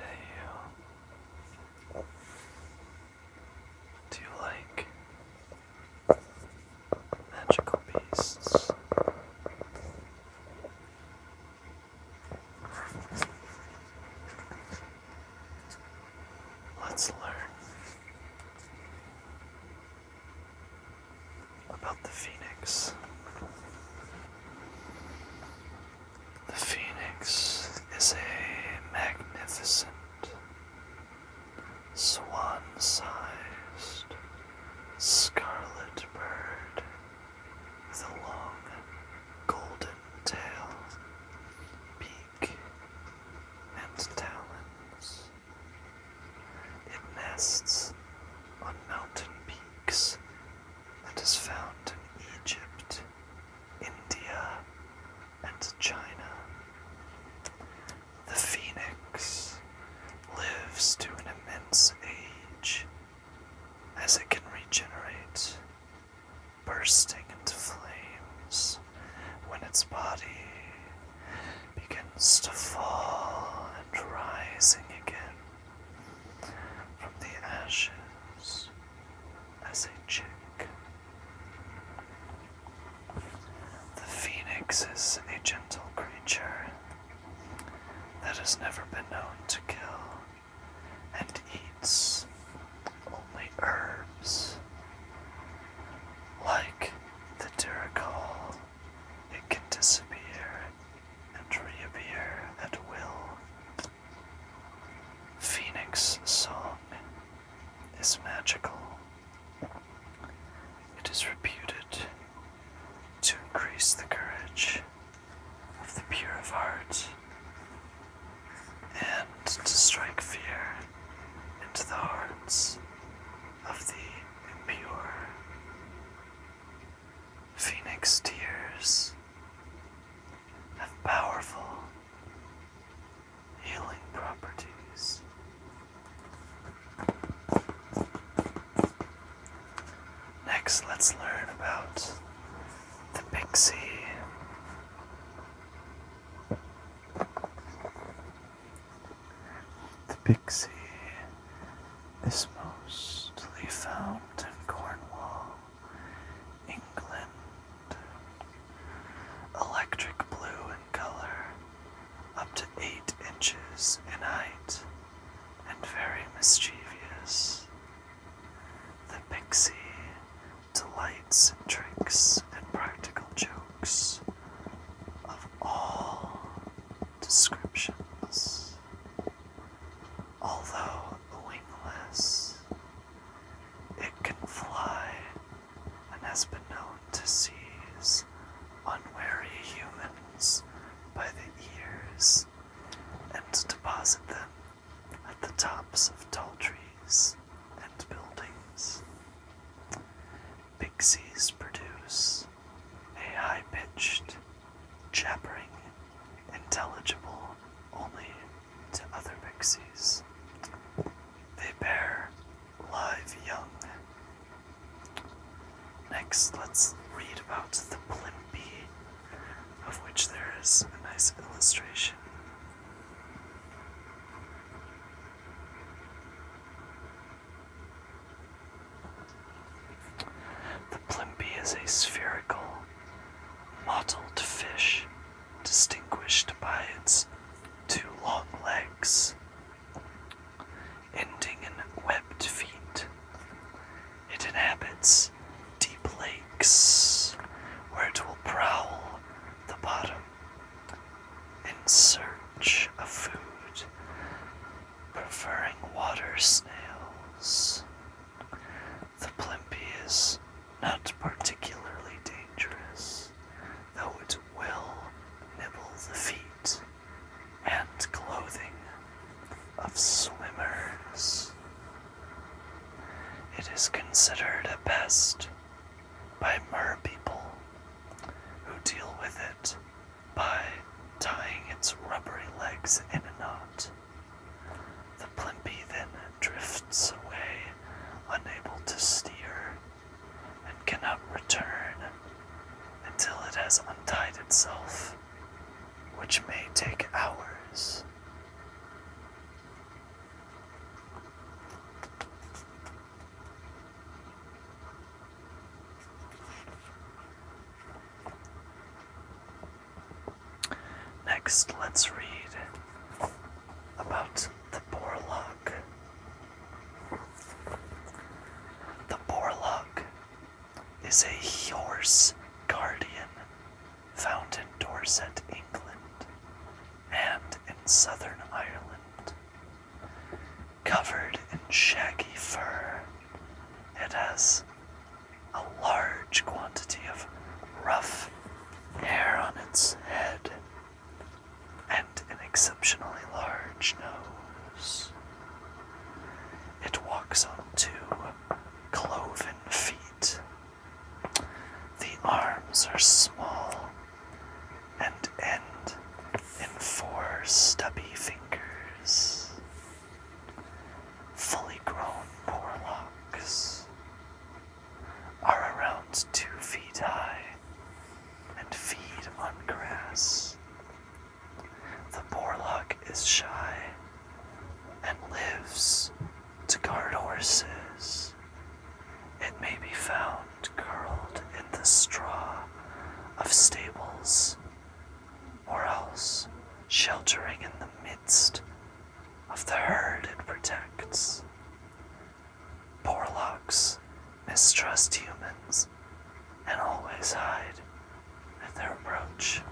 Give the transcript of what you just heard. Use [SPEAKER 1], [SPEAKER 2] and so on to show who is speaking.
[SPEAKER 1] Hey you. Do you like magical beasts. Let's learn about the phoenix. The phoenix is a magnificent swan sized scarlet bird with a long golden tail, beak, and talons. It nests on mountain peaks and is found in Egypt, India, and China the phoenix lives to an immense age as it can regenerate, bursting into flames when its body begins to fall and rising again from the ashes as a chick the phoenix is a gentle creature that has never been known to kill and eats only herbs. Like the Duracal, it can disappear and reappear at will. Phoenix Song is magical. It is reputed to increase the courage of the pure of heart and to strike fear into the hearts of the impure. Phoenix tears have powerful healing properties. Next, let's learn about the pixie. The pixie is mostly found in Cornwall England. Electric blue in color, up to 8 inches in height, and very mischievous. The pixie delights in tricks and practical jokes of all descriptions. Although wingless, it can fly and has been known to seize unwary humans by the ears and deposit them at the tops of tall trees and buildings. Pixies produce a high pitched, jabbering, intelligible only to other pixies. They bear live young. Next, let's read about the blimpie, of which there is a nice illustration. The plimpie is a spherical, mottled fish distinguished by its two long legs, ending in webbed feet. It inhabits deep lakes where it will prowl the bottom in search of food preferring water snails. The Plimpie is not particularly dangerous, though it will nibble the feet and clothing of swimmers. It is considered a pest by mer people who deal with it by tying its rubbery legs in a knot. The Plimpie then drifts away, unable to steer, and cannot return until it has untied itself, which may take hours. Next, let's read about the Borlock. The Borlock is a horse guardian found in Dorset, England, and in southern Ireland. Covered in shaggy fur, it has a large quantity of rough hair on its head and an exceptionally large nose. It walks on two cloven feet. The arms are small and end in four stubby fingers, fully grown Morlocks. Are around two feet high and feed on grass. The Borlock is shy and lives to guard horses it may be found curled in the straw of stables, or else sheltering in the midst of the herd it protects. Porlocks mistrust humans and always hide at their approach.